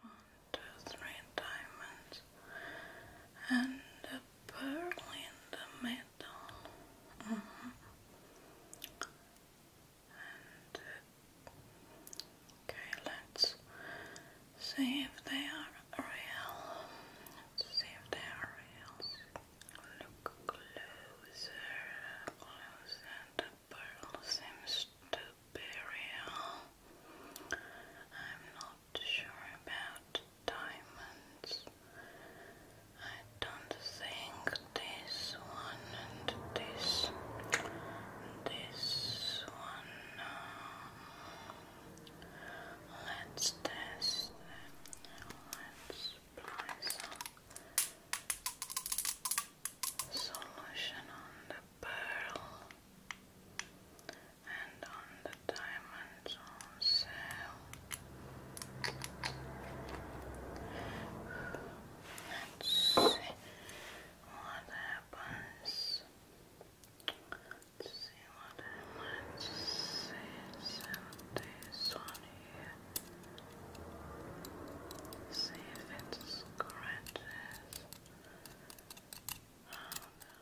One, two, three diamonds and a pearl in the middle. And mm-hmm. okay, let's see if they are real. see if they are real. Look closer, closer purple seems to be real. I'm not sure about diamonds. I don't think this one and this, this one. Um, let's test Let's play solution on the pearl and on the diamonds Let's see what happens. Let's see what happens. See if it scratches. Oh, no.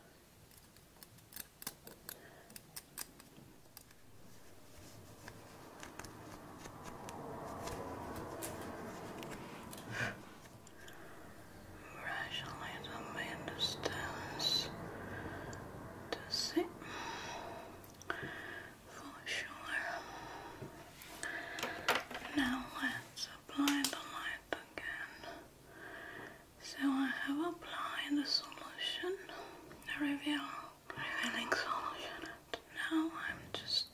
Brush a little for sure. Now let's apply the light again. So I have applied the solution, reveal, revealing solution. now I'm just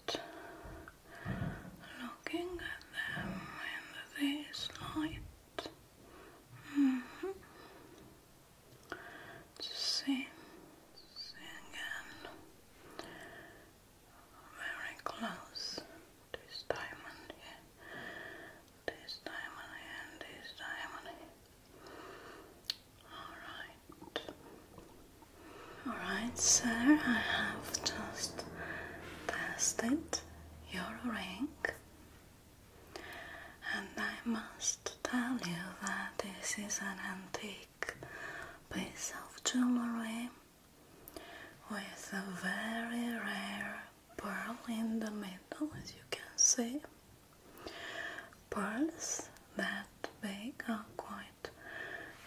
looking at them in this light. Mm see, see very close. This diamond here, this diamond and this diamond Alright. Alright, sir, I have just tested your ring. And I must tell you that this is an antique unique piece of jewelry with a very rare pearl in the middle, as you can see. Pearls that big are quite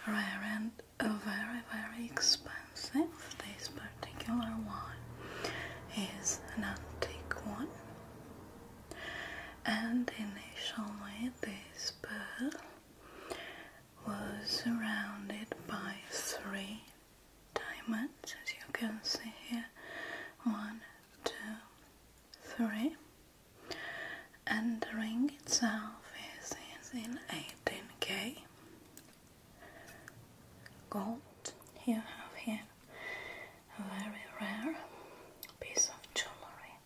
rare and very, very expensive. This particular one is an antique one, and initially, this pearl was surrounded by three diamonds, as you can see here one, two, three, and the ring itself is in 18k gold. You have here a very rare piece of jewelry.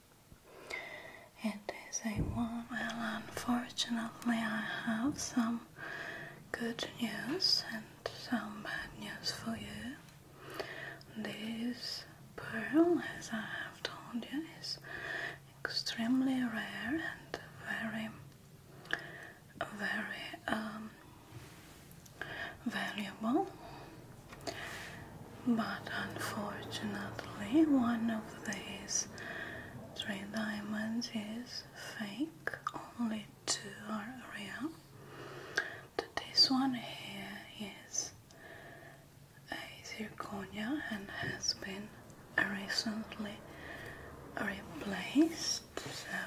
It is a one. Well, unfortunately, I have some good news and some bad news for you. This pearl, as I have told you, is extremely rare and very, very um, valuable. But unfortunately, one of these three diamonds is fake, only two are real. this one here is a zirconia and has been recently replaced, so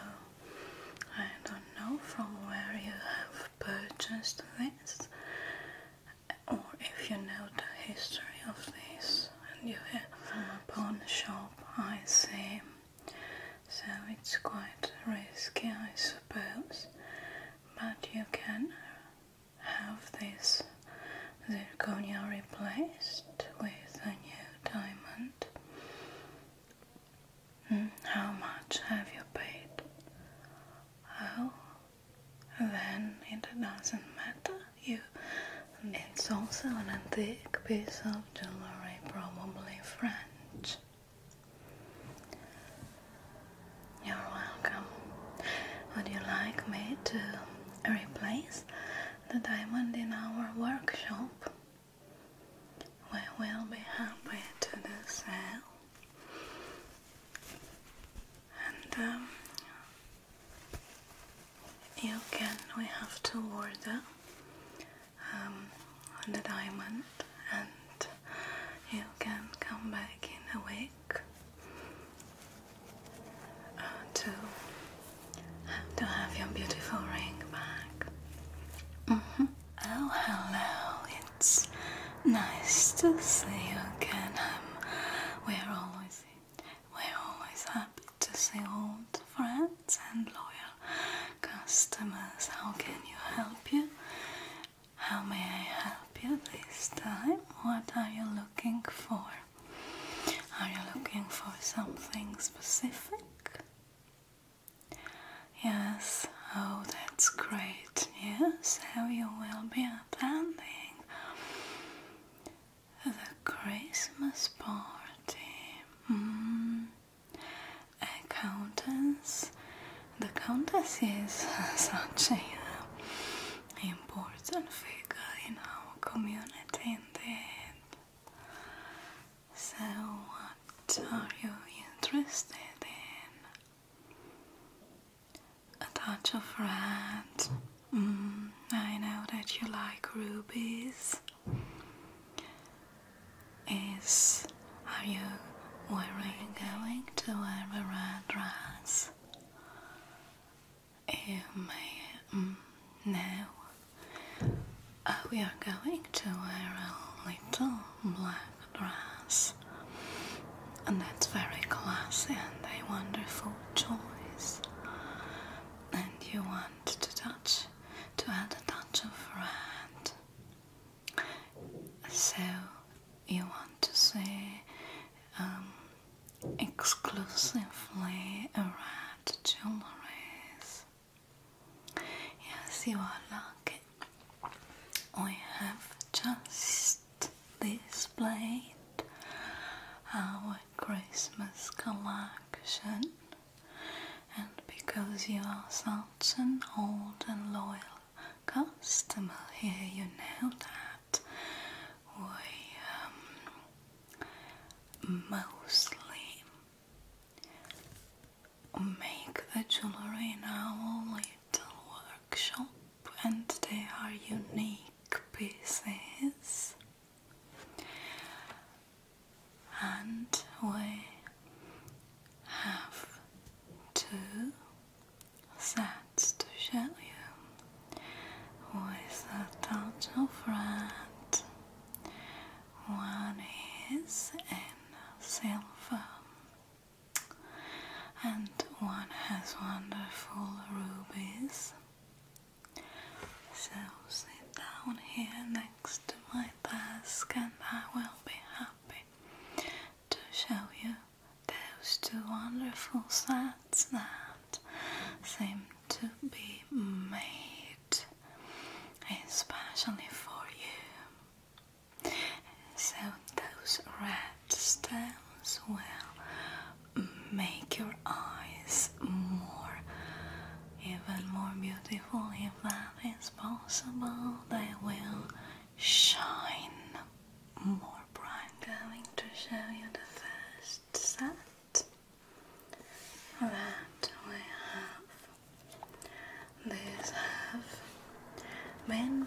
I don't know from where you have purchased this or if you know the history of this and you have a pawn shop, I see. So it's quite risky, I suppose, but you can have this zirconia replaced with a new diamond. Hmm, how much have you paid? Oh, then it doesn't matter you it's also an antique piece of jewelry probably French you're welcome would you like me to replace the diamond in our workshop we will be happy to do so and um, you can we have to order the diamond and you can come back in a week uh, to have your beautiful ring back. Mm-hmm. Oh, hello, it's nice to see you again. we're always we're always happy to see old friends and loyal customers. How can you help you? How may I help you this time? What are you looking for? Are you looking for something specific? Yes, oh, that's great Yes. How are you will be planning the Christmas party. Mm. countess. The countess is such an uh, important figure in our community indeed. So, what are you interested in? a touch of red. Mm, I know that you like rubies. Is are you where going to wear a red dress? You may mm, no. Uh, we are going to wear a little black grass. And that's very classy and a wonderful choice. And you want to touch, to add a touch of red. So you want to say exclusively um, exclusively red jewelries. Yes, you are lucky. I have just displayed our Christmas collection and because you are such an old and loyal customer here you know that we um, mostly make the jewelry in our little workshop, and they are unique pieces. And we have two sets to show you with a touch of red. One is in silver and one has wonderful rubies. So sit down here next to my desk and I will be happy to show you those two wonderful sets that seem to be made especially for you. So those red head stems will make your eyes more, even more beautiful. If that is possible, they will shine more bright. going to show you the first set that we have. These have been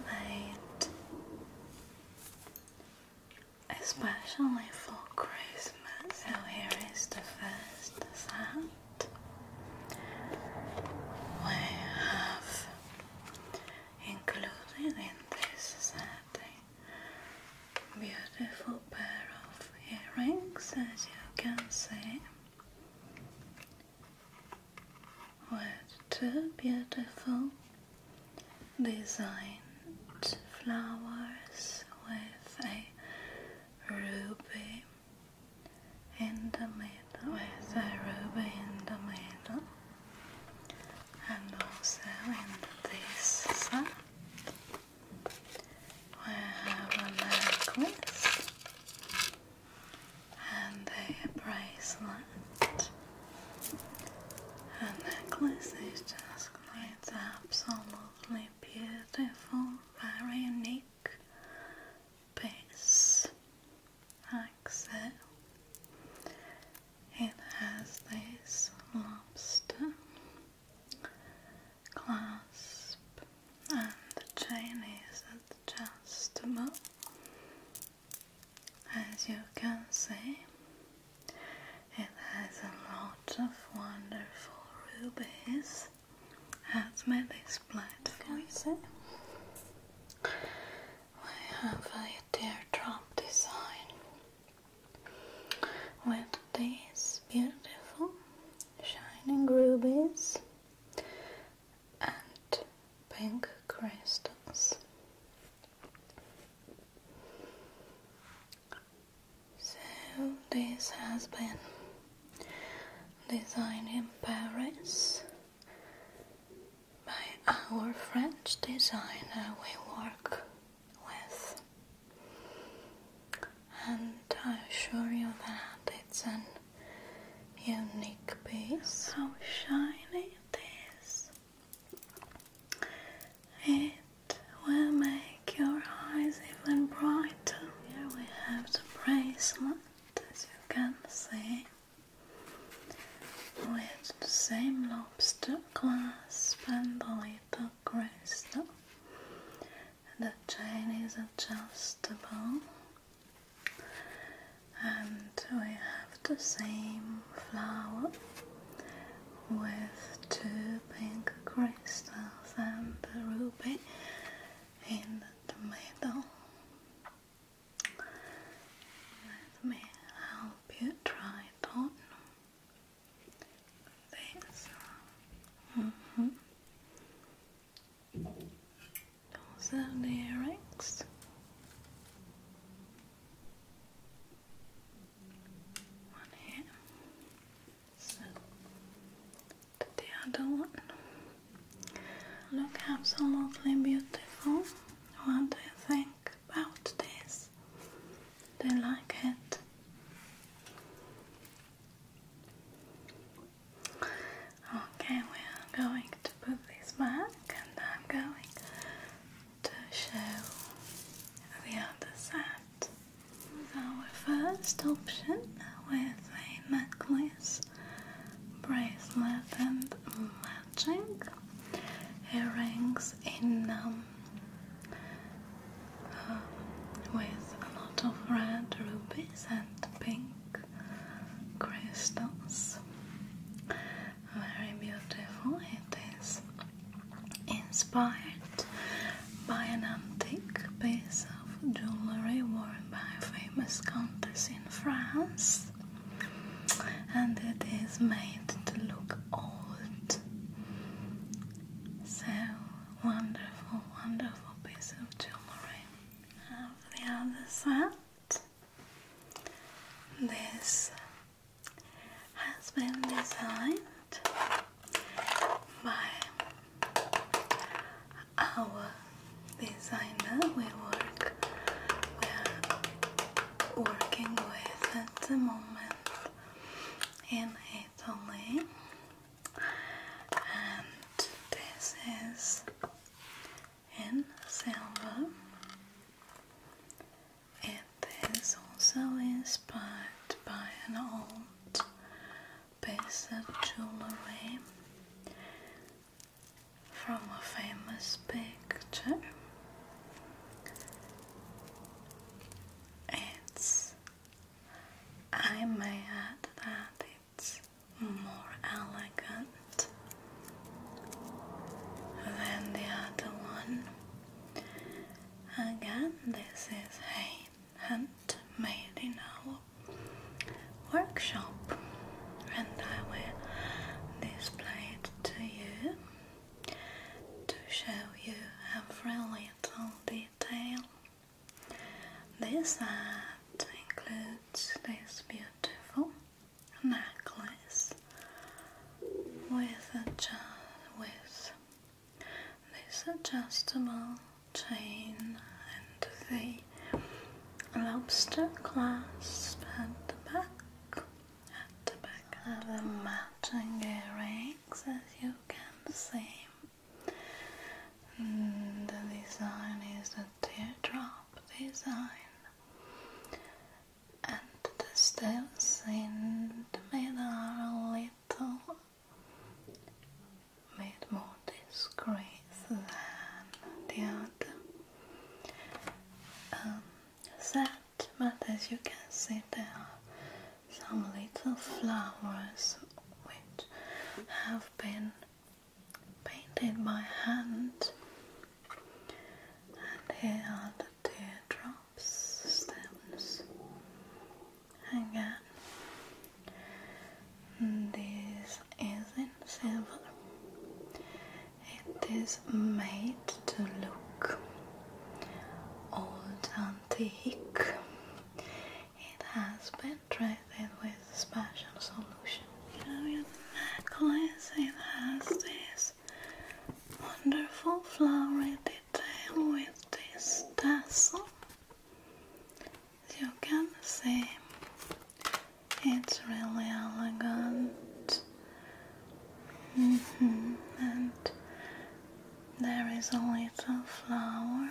especially for Christmas. So here is the first set. We have included in this set beautiful pair of earrings, as you can see with two beautiful designed flowers with a ruby in the middle, with a ruby in the middle, and also in this side we have a necklace and a bracelet that. necklace is just it's absolutely beautiful, very unique piece. Axel. It has this lobster clasp and the chain is adjustable as you can see, it has a lot of wonderful rubies at my display for you. We have a teardrop design with these beautiful shining rubies and pink crystals. So this has been designed in Paris by our French designer we work with and I assure you that it's an unique piece. How shiny it is! It will make your eyes even brighter. Here we have the bracelet, as you can see, with the same lobster clasp and the little crystal. The chain is adjustable and we have the same flower with two pink crystals and a ruby in the middle. Let me help you try on. This. Mm-hmm. Also earrings one here. So the other one. Look absolutely beautiful. What do you think about this? Do you like it? Okay, we are going to put this back and I'm going to show the other side. Our first option with a necklace, bracelet and matching earrings in um, uh, with a lot of red rubies and pink crystals very beautiful. It is inspired by an antique piece of jewelry worn by a famous countess in France, and it is made to look old. So wonderful, wonderful piece of jewelry. Have the other set. This has been designed by our designer we work we are working with at the moment in Italy and this is and silver. It is also inspired by an old piece of jewelry from a famous picture. It's, I may add that it's more elegant then the other one again this is hey handmade in our workshop and I will display it to you to show you every little detail. This art includes this beautiful necklace with a with this adjustable chain and the lobster clasp at the back at the back of the matching earrings as you can see and the design is a teardrop design and the steps in the middle are a little made more discreet than the other um, set, but as you can see there are some little flowers which have been painted by hand and here are the teardrops, stems. Again, this is in silver. It is made to look old antique. It has been treated with special solution. Here is the necklace. It has this wonderful flowery detail with this tassel. you can see, it's really elegant. Mm-hmm. And there is a little flower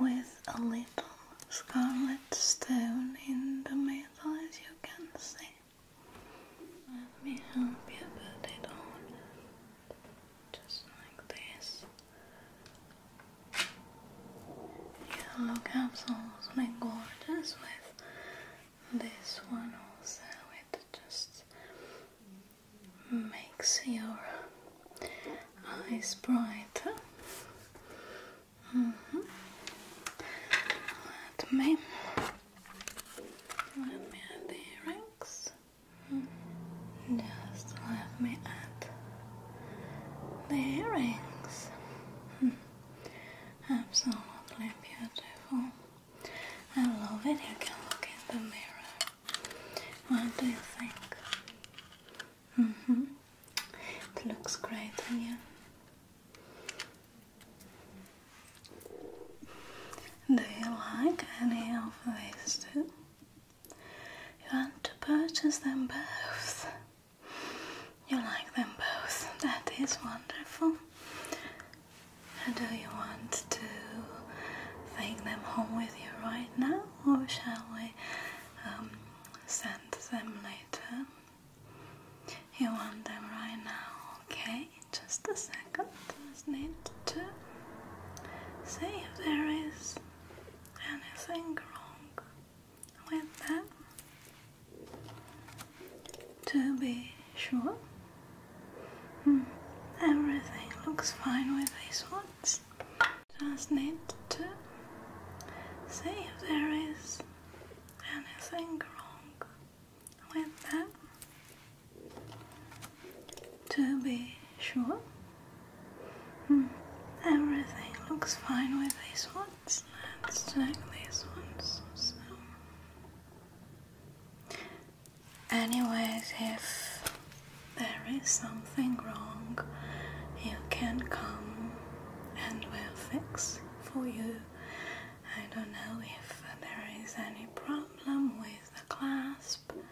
with a little scarlet stone in the middle as you can see. Let me help you put it on. Just like this. You look absolutely gorgeous with this one also. It just makes your eyes brighter. Mm-hmm. Let me let me add the earrings. Mm -hmm. Just let me add the earrings. Hmm. Absolutely beautiful. I love it. You can look in the mirror. What do you think? Mm -hmm. It looks great on Do you like any of these two? You want to purchase them both? You like them both. That is wonderful. Do you want to take them home with you right now, or shall we um, send them later? You want them right now, okay? Just a second. Just need to see if there is anything wrong with them. To be sure. Hmm, everything looks fine with these ones. Just need to see if there is anything wrong with them. To be sure, hmm. everything looks fine with these ones. Let's check these ones. So. Anyways, if there is something wrong, you can come and we'll fix for you. I don't know if there is any problem with the clasp or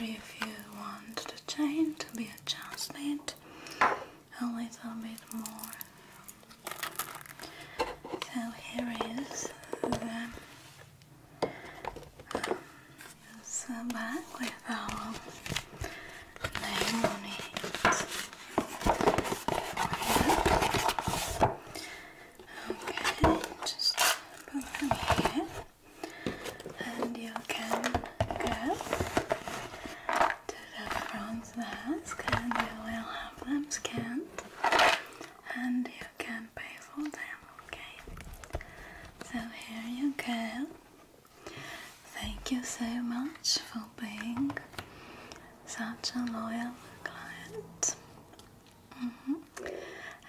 if you want the chain to be adjusted a little bit more. So here is the um, so back with our Okay, just put them here and you can go to the front desk and you will have them scanned and you can pay for them, okay? So here you go. Thank you so much for being such a loyal client. Mm-hmm.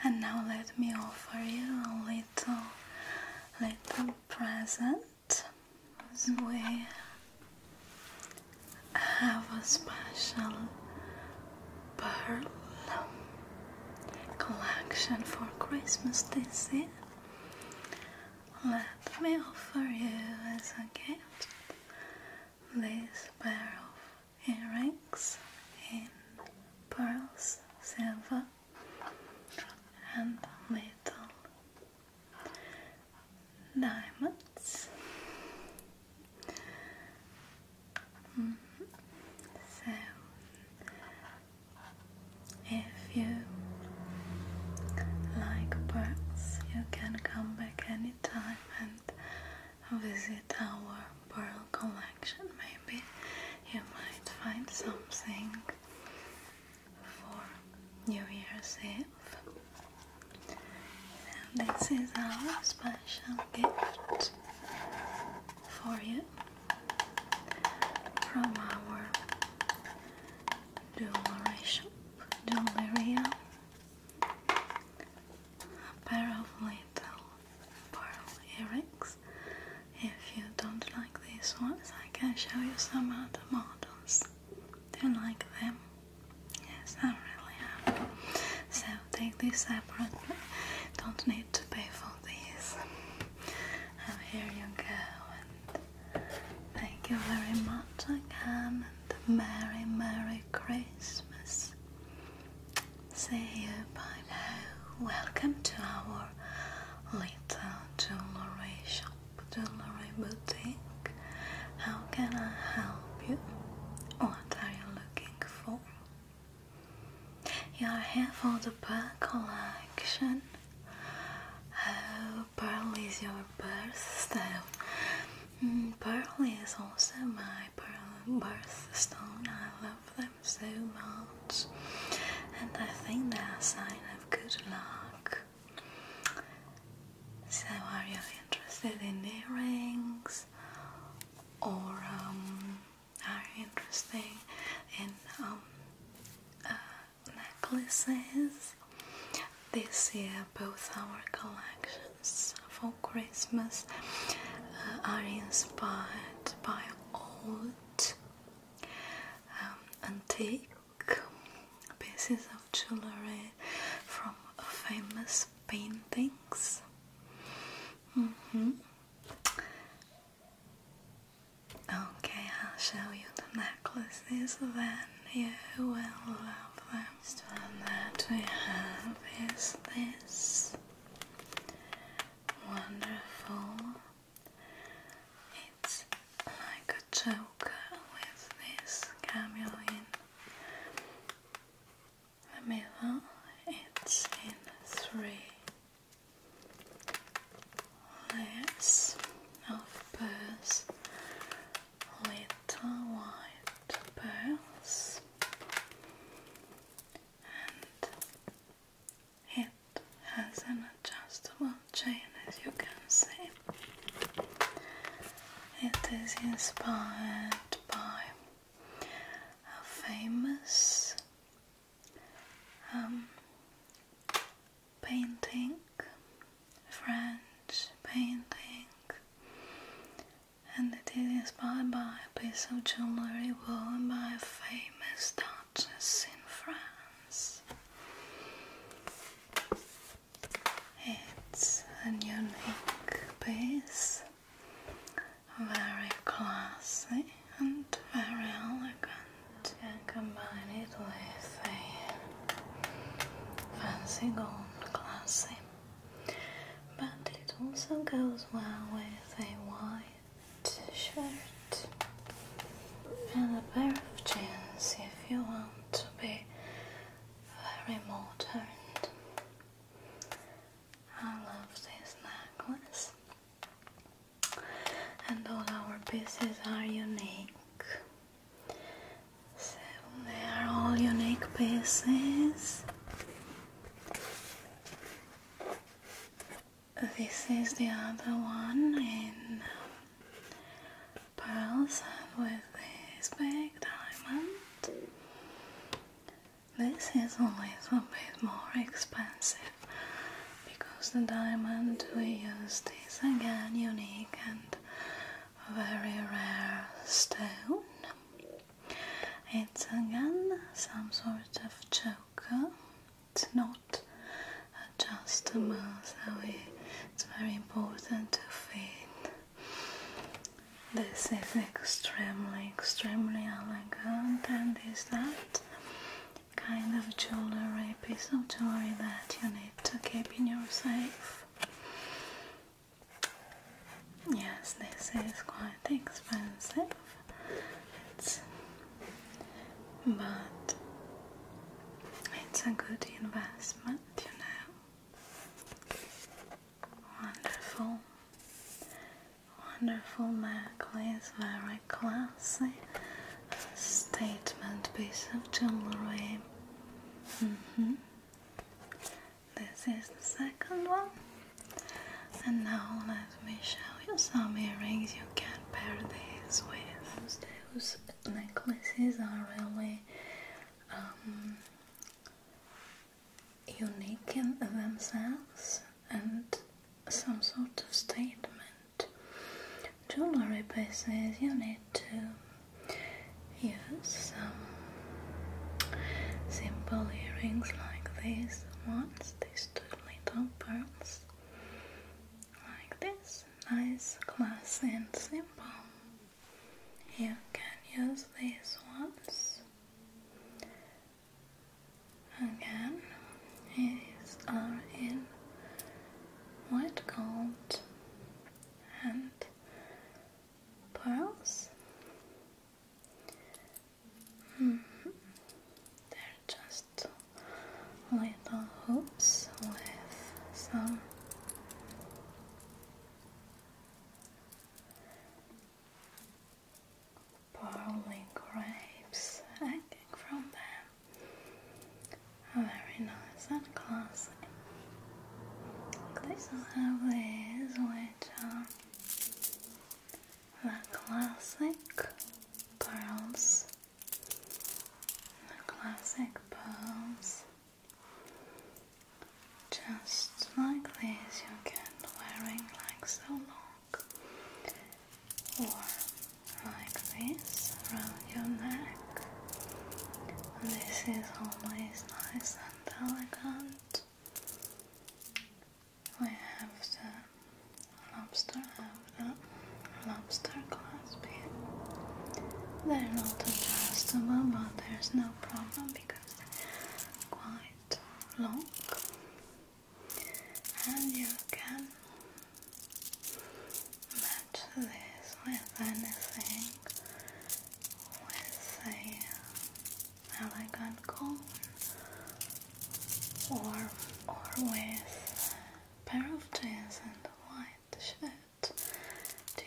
And now let me offer you a little, little present. We have a special pearl collection for Christmas this let me offer you as a gift this pair of earrings in pearls, silver, and little diamonds. Mm-hmm. So if you like pearls, you can come back anytime and visit our pearl collection. Maybe you might find something for New Year's Eve. And this is our special gift for you from our jewelry shop, jewelry a pair of little pearl earrings. If you don't like these ones, I can show you some other models. Do you like them? Yes, I really have. So take these separately. Don't need to pay for these. here you go. Thank you very much again and Merry Merry Christmas. See you bye now. Welcome to our little jewelry shop, jewelry boutique. How can I help you? What are you looking for? You are here for the pearl collection. Uh, Pearl is your birthstone. Mm, Pearl is also my birthstone. I love them so much. And I think they're a sign of good luck. So are you interested in earrings? Or um, are you interested in um, uh, necklaces. This year, both our collections for Christmas uh, are inspired by old um, antique pieces of jewelry from famous paintings. Mm-hmm. Okay, I'll show you the necklaces then you will love them. First one that we have is this wonderful. It's like a choker with this cameo in the middle. It's in three less of pearls, little white pearls, and it has an adjustable chain as you can see. It is inspired by a famous um, painting, French painting, and it is inspired by a piece of jewelry worn by a famous duchess in France. It's a unique piece, very classy and very elegant and combine it with a fancy gold classy. But it also goes well with a white shirt and a pair of jeans if you want to be very modern. I love this necklace. And all our pieces are unique. So they are all unique pieces. This is the other one in um, pearls and with this big diamond. This is only a bit more expensive because the diamond we used is again unique and very rare stone. It's again some sort of choker. It's not just a mouse, so it's very important to fit. This is extremely, extremely elegant and is that kind of jewelry piece of jewelry that you need to keep in your safe. Yes, this is quite expensive. It's but it's a good investment, you know. Wonderful, wonderful necklace, very classy, statement piece of jewelry. Mm-hmm. This is the second one. And now let me show you some earrings you can pair these with. Those necklaces are really um, unique in themselves and some sort of statement jewelry pieces, you need to use some simple earrings like these ones, these two little pearls, like this, nice, classy and simple. You can use these ones. Again, these are in what gold and pearls. Hmm. They're just little hoops with some pearly grapes from them. A very nice and classy. These are these the classic pearls. The classic pearls. Just like these you can wearing like so long or like this around your neck. This is always nice and elegant. We have the lobster lobster clasp They're not adjustable but there's no problem because quite long and you can match this with anything with a elegant cone or, or with pair of jeans and a white shirt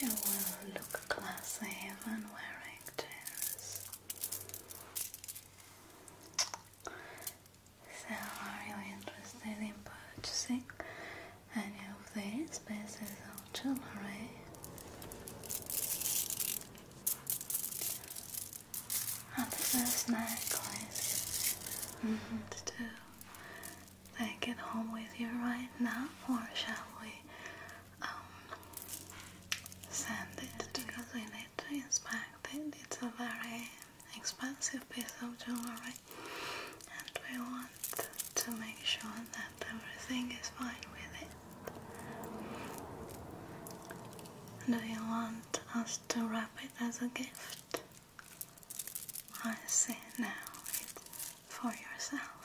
you will look classy even wearing jeans so are you interested in purchasing any of these pieces of jewelry? And this necklace. And mm-hmm, to take it home with you right now, or shall we um, send it because we need to inspect it? It's a very expensive piece of jewelry and we want to make sure that everything is fine with it. Do you want us to wrap it as a gift? I see now it's for yourself.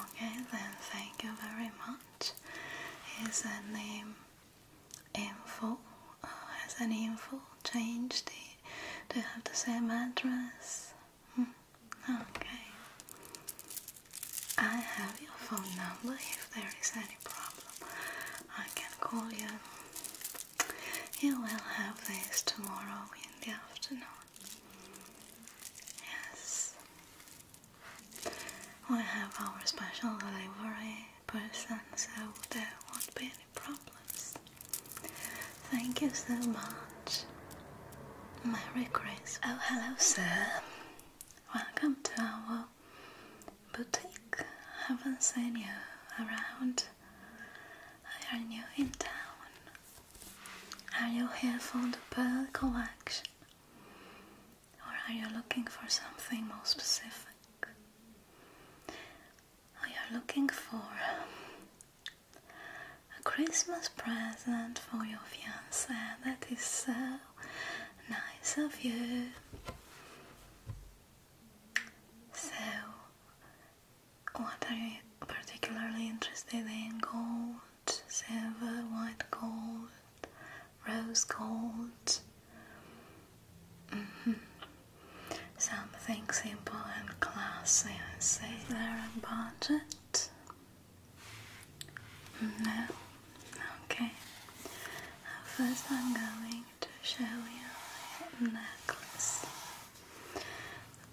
Okay then thank you very much. Is a name info? Uh, has an info change the do you have the same address? Hmm, okay. I have your phone number if there is any problem. I can call you. You will have this tomorrow in the afternoon. Yes. We have our special delivery person, so there won't be problems. Thank you so much. Merry Christmas. Oh, hello, sir. Welcome to our boutique. Haven't seen you around. Are you in town? Are you here for the pearl collection? Or are you looking for something more specific? We are looking for um, a Christmas present for your fiance. That is so nice of you. So, what are you particularly interested in? Gold, silver, white gold, rose gold. Mm-hmm. Something simple and classy, I say. Is there a budget? No? Okay. First I'm going to show you a necklace.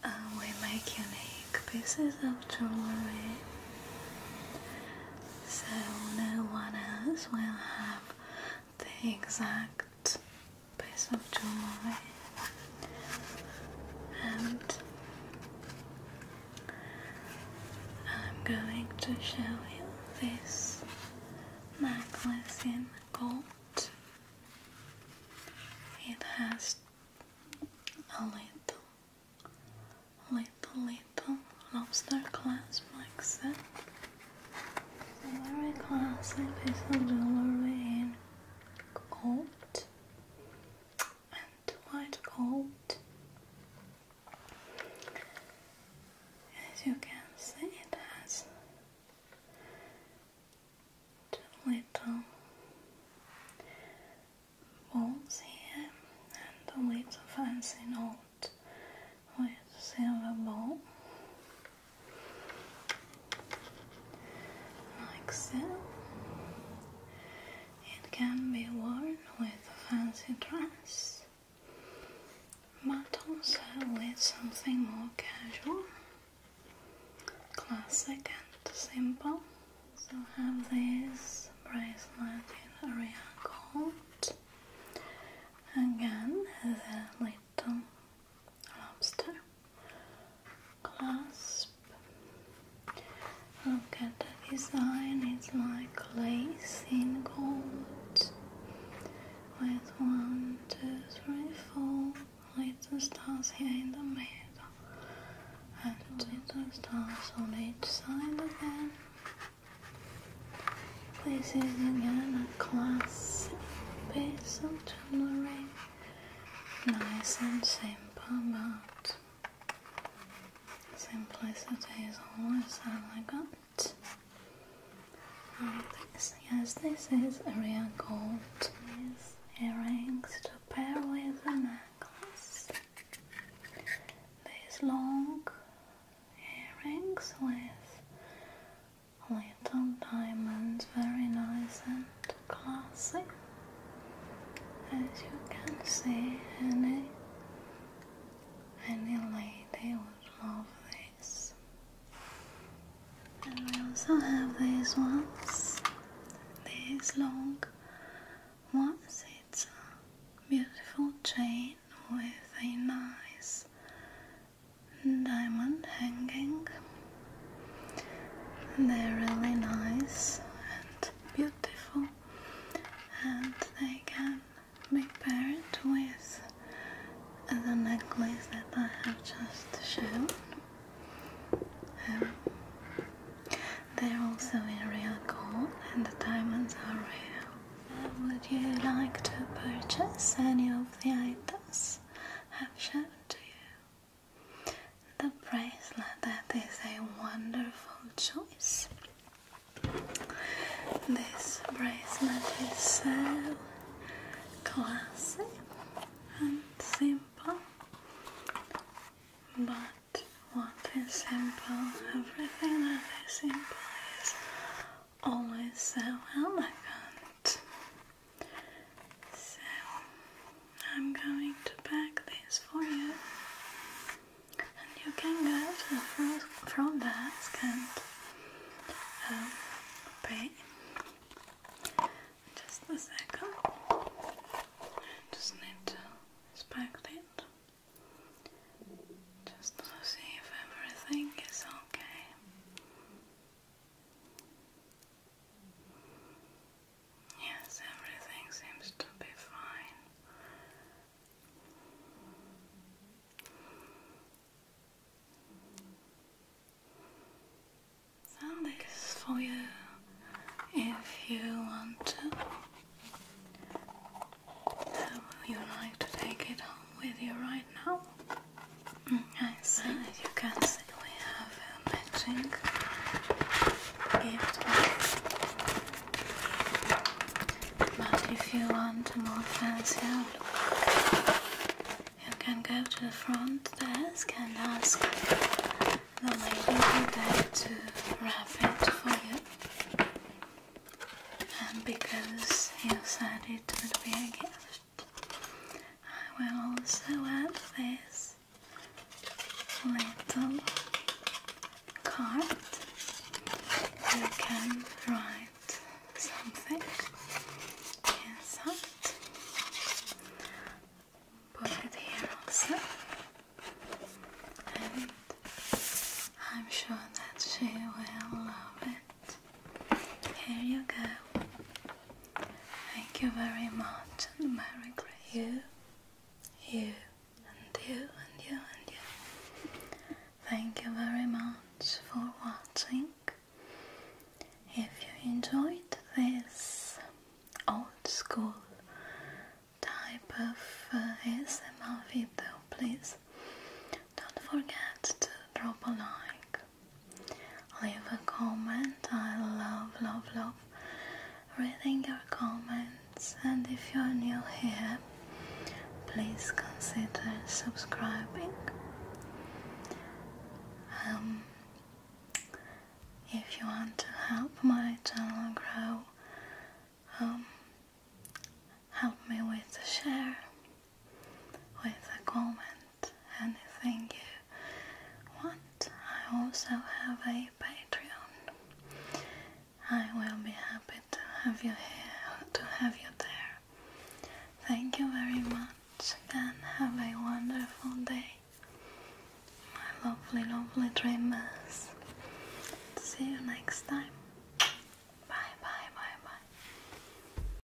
Uh, we make unique pieces of jewelry. So no one else will have the exact piece of jewellery and I'm going to show you this necklace in gold. It has a little, little, little lobster clasp like so very classic with a jewelry in gold and white gold. As you can see, it has two little balls here and a little fancy knot with silver ball like so. It can be worn with a fancy dress, but also with something more casual, classic and simple. So have this bracelet in a area gold. Again, a little hamster clasp. Look at the design, it's like lace in gold with one, two, three, four little stars here in the middle and little stars on each side again. This is again a class piece of Nice and simple, but simplicity is always elegant. I think, yes, this is a real gold. earrings to pair with the necklace. These long earrings with little diamonds, very nice and classy. As you can see, any any lady would love this. And we also have these ones, these long ones. It's a beautiful chain with a nice diamond hanging. They're really nice and beautiful, and they can be paired with the necklace that I have just shown. Um, they're also in real gold, and the diamonds are real. Would you like to purchase any of the items? others have shown to you. The bracelet, that is a wonderful choice. This bracelet is so classic and simple, but what is simple, everything that is simple is always so elegant. So I'm going to pack these for you, and you can go to the front, front desk um, pay. Just a second. just need to inspect it. Just to see if everything is okay. Yes, everything seems to be fine. So this for you if you want to. So you like to take it home with you right now? As you can see, we have a matching gift But if you want more fancy outlook, you can go to the front desk and ask the lady there to wrap it for you. And because you said it would be a gift, I will also add this little card. You can write something inside. Put it here also. And I'm sure that she will love it. Here you go. Thank you very much and Merry Christmas. You, you, and you, and you, and you. Thank you very much for watching. If you enjoyed this old school type of uh, video, please don't forget to drop a like, leave a comment. I love, love, love reading your comments. And if you're new here, please consider subscribing. Um, if you want to help my channel grow, um, help me with a share, with a comment anything you want. I also have a Patreon. I will be happy to have you here, to have you there. Thank you very much and have a wonderful day. My lovely, lovely dreamers. See you next time. Bye, bye, bye, bye.